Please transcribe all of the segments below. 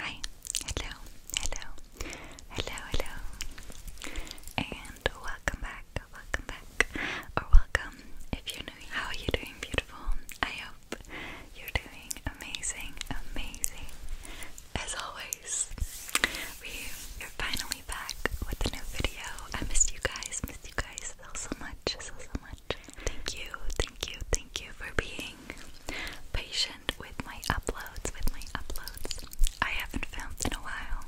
Hi, hello, hello, hello, hello, and welcome back, welcome back, or welcome if you're new. How are you doing, beautiful? I hope you're doing amazing, amazing. As always, we are finally back with a new video. I missed you guys, missed you guys so much, so so much. Thank you, thank you, thank you for being patient with my uploads, with my uploads. I haven't filmed in a while,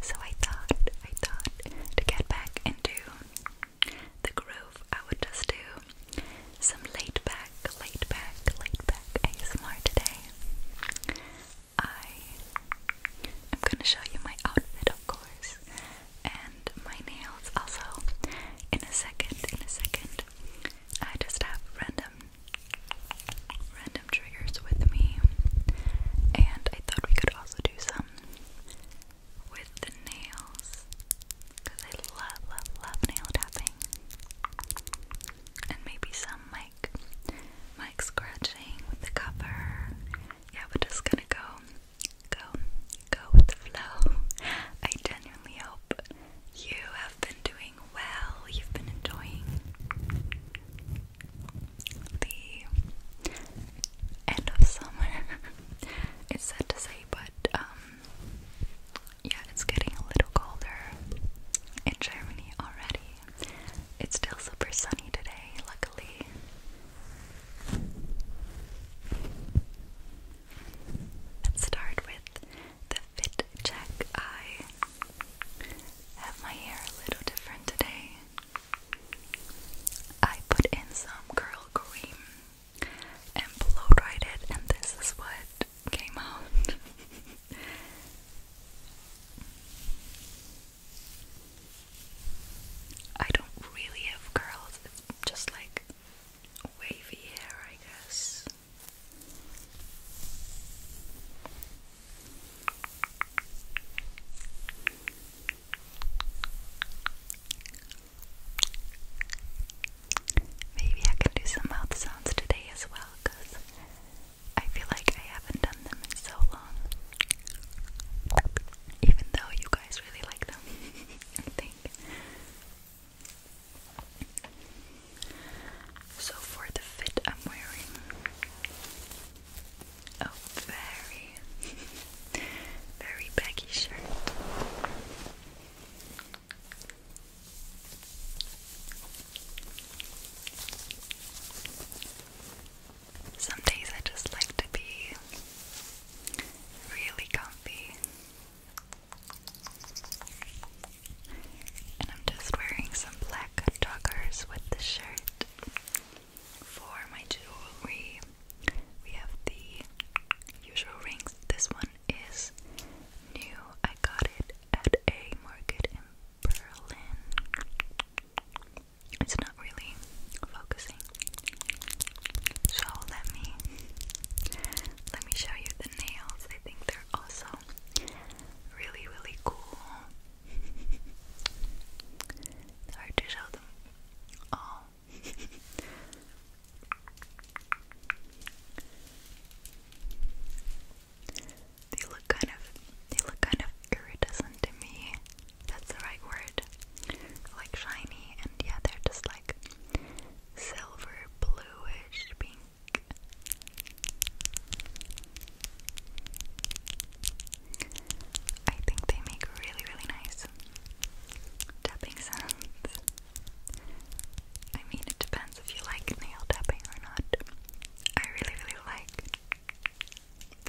so I thought, I thought to get back into the groove, I would just do some laid back, laid back, laid back ASMR today. I am gonna show you my outfit, of course and my nails also in a second, in a second. I just have random random triggers with me and I thought we could also do some with the nails because I love love love nail tapping and maybe some mic mic scratching with the cover yeah we're just gonna go go, go with the flow. I genuinely hope you have been doing well, you've been enjoying the end of summer. it's sad to say, but um, yeah, it's getting a little colder in Germany already. It's still super sunny today, luckily. Let's start with the fit check. I have my hair a little different today. I put in some curl cream and blow dried it, and this is what came out. I don't really have curls, it's just like wavy hair, I guess. Maybe I can do some mouth sounds today as well because I feel like I haven't done them in so long, even though you guys really like them. I think. So for the fit I'm wearing a very, very baggy shirt. Some days I just like to be really comfy. And I'm just wearing some black joggers with the shirt. For my jewelry, we have the usual rings. This one is new. I got it at a market in Berlin it's not really focusing. So let me let me show you the nails. I think they're also really really cool. hard to show them all. they look kind of they look kind of iridescent to me that's the right word. Like shiny, and yeah, they're just like silver, bluish pink. I think they make really, really nice tapping sounds. I mean, it depends if you like nail tapping or not. I really, really like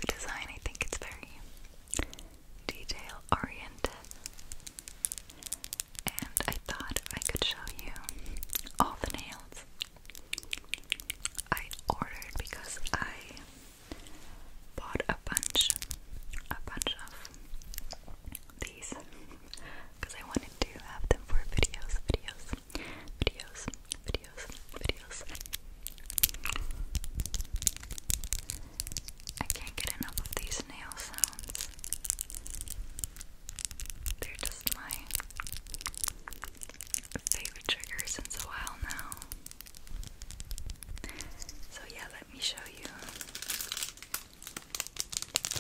the design, I think it's very detail oriented. And I thought I could show you all the nails I ordered because I bought a bunch, a bunch of these because I wanted to have them for videos, videos, videos, videos, videos. I can't get enough of these nail sounds. They're just my favorite trigger since a while now. So, yeah, let me show you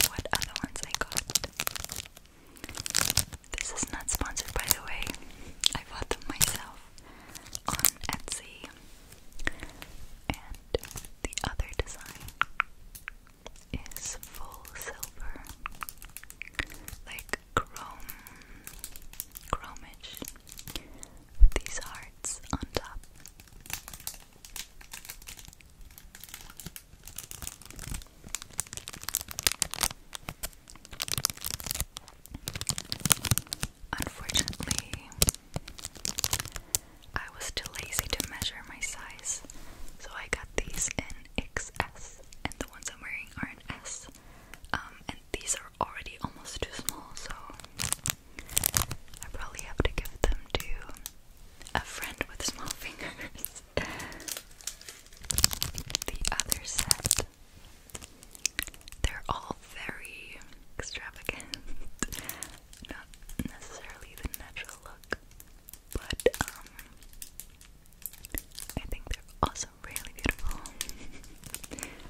what other ones I got. This is not sponsored, by the way. I bought them myself on Etsy. And the other design is full silver, like chrome, chromish, with these hearts on top. Unfortunately, I was too lazy to measure my size, so I got these in XS, and the ones I'm wearing are in S. Um, and these are already almost too small, so I probably have to give them to a friend with small fingers. the other set they're all very extravagant. Not necessarily the natural look, but um, I think they're also really beautiful.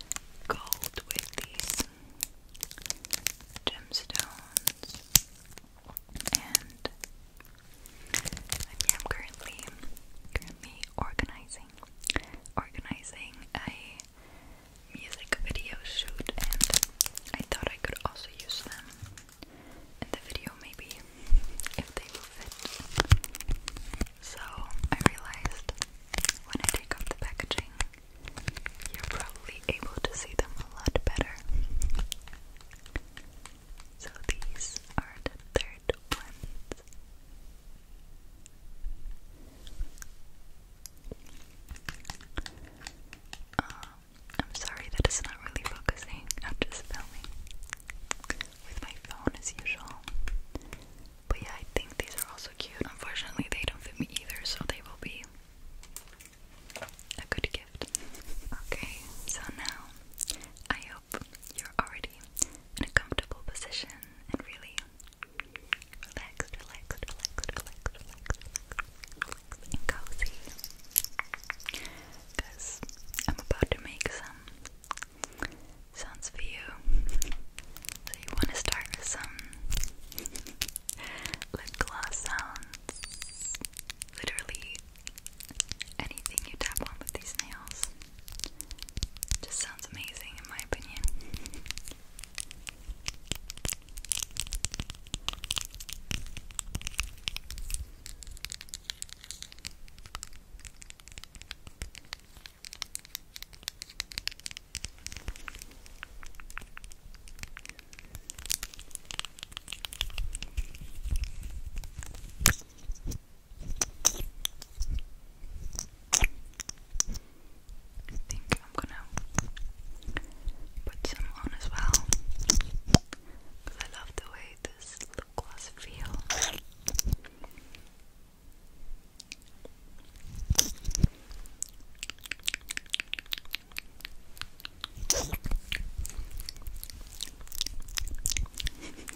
Gold with these gemstones and I'm currently currently organizing organizing a music video shoot and I thought I could also use them in the video maybe if they will fit. So I realized when I take off the packaging you're probably able to see them a lot better. So these are the third ones. Um, I'm sorry that it's not really focusing. I'm just filming with my phone as usual. But yeah, I think these are also cute. Unfortunately, they don't fit me either, so they will be a good gift. Okay, so now I hope you're already in a comfortable position and really relaxed, relaxed, relaxed, relaxed, relaxed, relaxed and cozy because I'm about to make some sounds for you so you want to start with some lip gloss sounds literally anything you tap on with these nails just sounds amazing in my opinion. I think I'm gonna put some on as well because I love the way this lip gloss feels.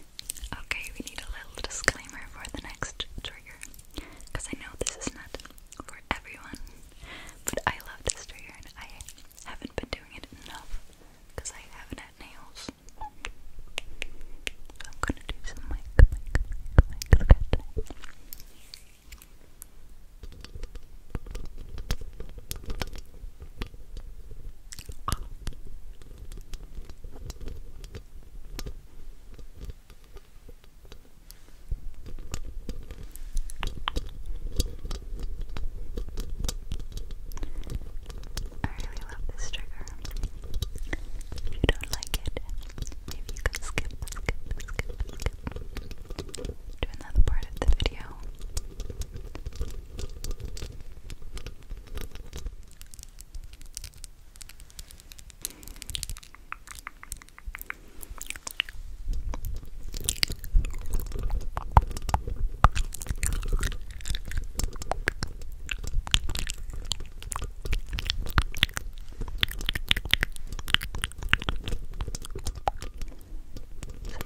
Okay, we need a little disclaimer for the next trigger. Because I know this is not for everyone, but I love this trigger and I haven't been doing it enough because I haven't had nails. So I'm gonna do some mic, I really love this trigger. If you don't like it, maybe you can skip, to another part of the video. So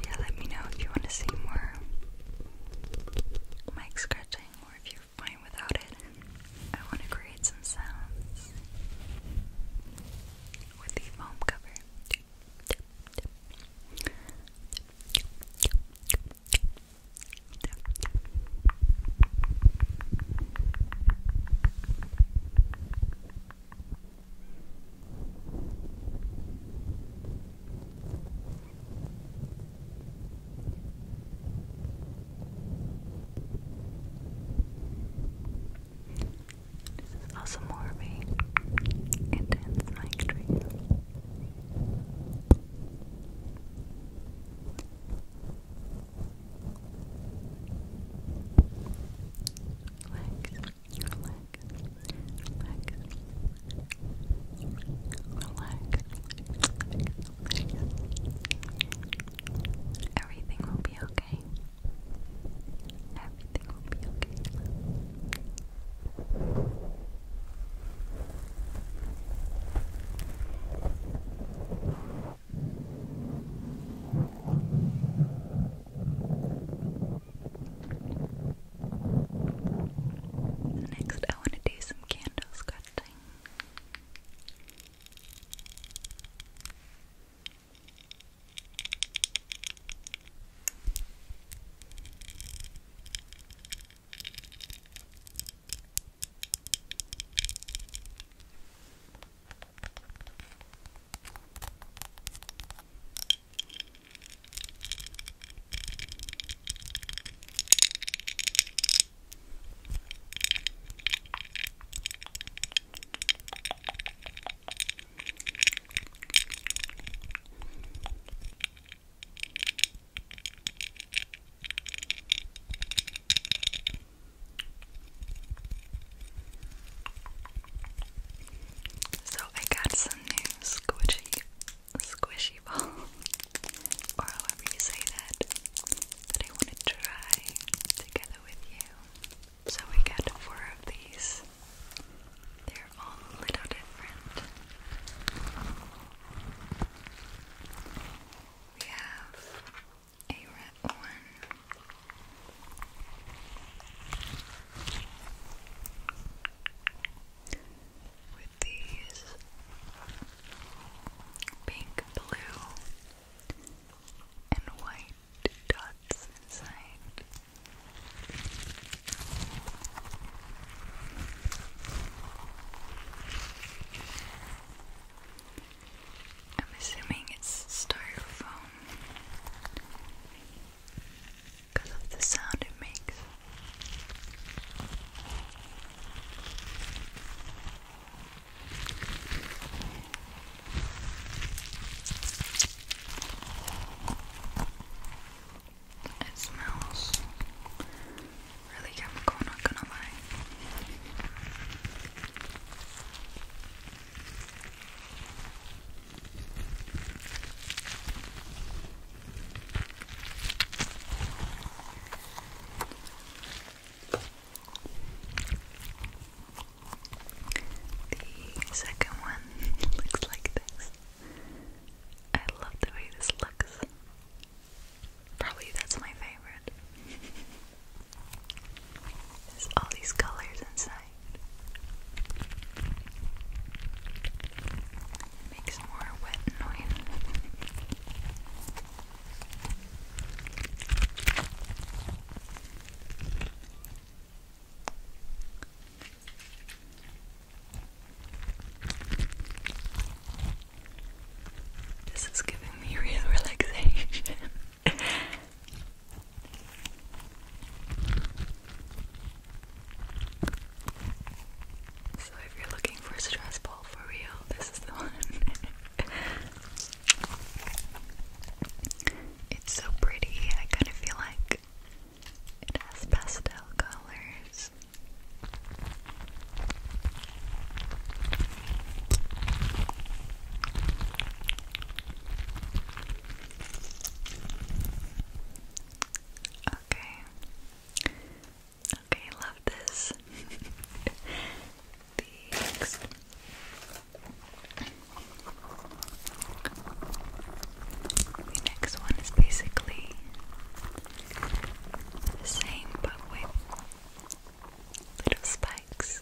yeah, let me know if you want to see more mic scratching or if you fine without it. I want to create some sounds with the foam cover. This is also more of a intense mic treat. Relax, relax, relax, relax. Everything will be okay. Everything will be okay. next I want to do some candle scratching. So I got some new squishy squishy ball, or however you say that, that I want to try together with you. So we got four of these. They're all little different. We have a red one with these pink, blue, and white dots inside. I'm assuming it's styrofoam because of the sound it makes. It smells really chemical, not gonna lie. The second one looks like this. I love the way this looks. Probably that's my favorite. There's all these colors inside makes more wet noise. This is giving me real relaxation. So if you're looking for a stress ball for real, this is the one. it's so pretty. I kind of feel like it has pastel colors. Okay. Okay, love this. Thanks. The next one is basically the same but with little spikes.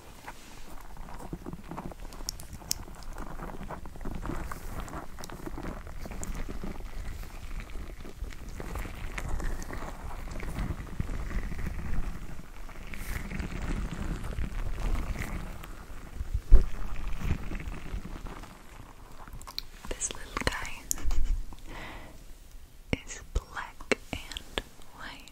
This little guy is black and white.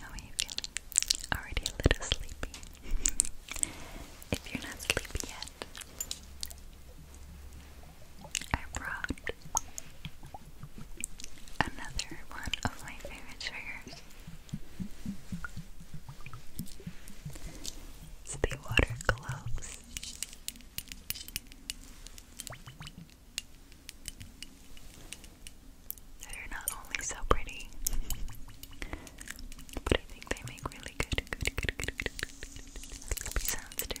How are you feeling? Already a little sleepy. if you're not sleepy yet, I brought another one of my favorite triggers. It's the water gloves. They're not only so pretty, but I think they make really good, good, good, good, good, good sounds too.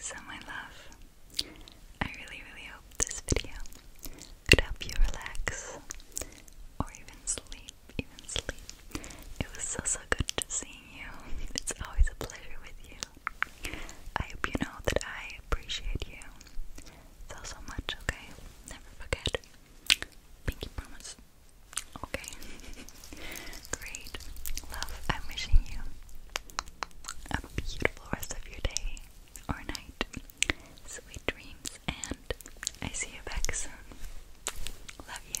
So, my love, I really, really hope this video could help you relax or even sleep. Even sleep. It was so, so good to seeing you. It's always a pleasure with you. I hope you know that I appreciate you so, so much, okay? Never forget. Pinky promise. Okay. Great. Love, I'm wishing you a beautiful rest of your day or night. Sweet dreams, and I see you back soon. Love you.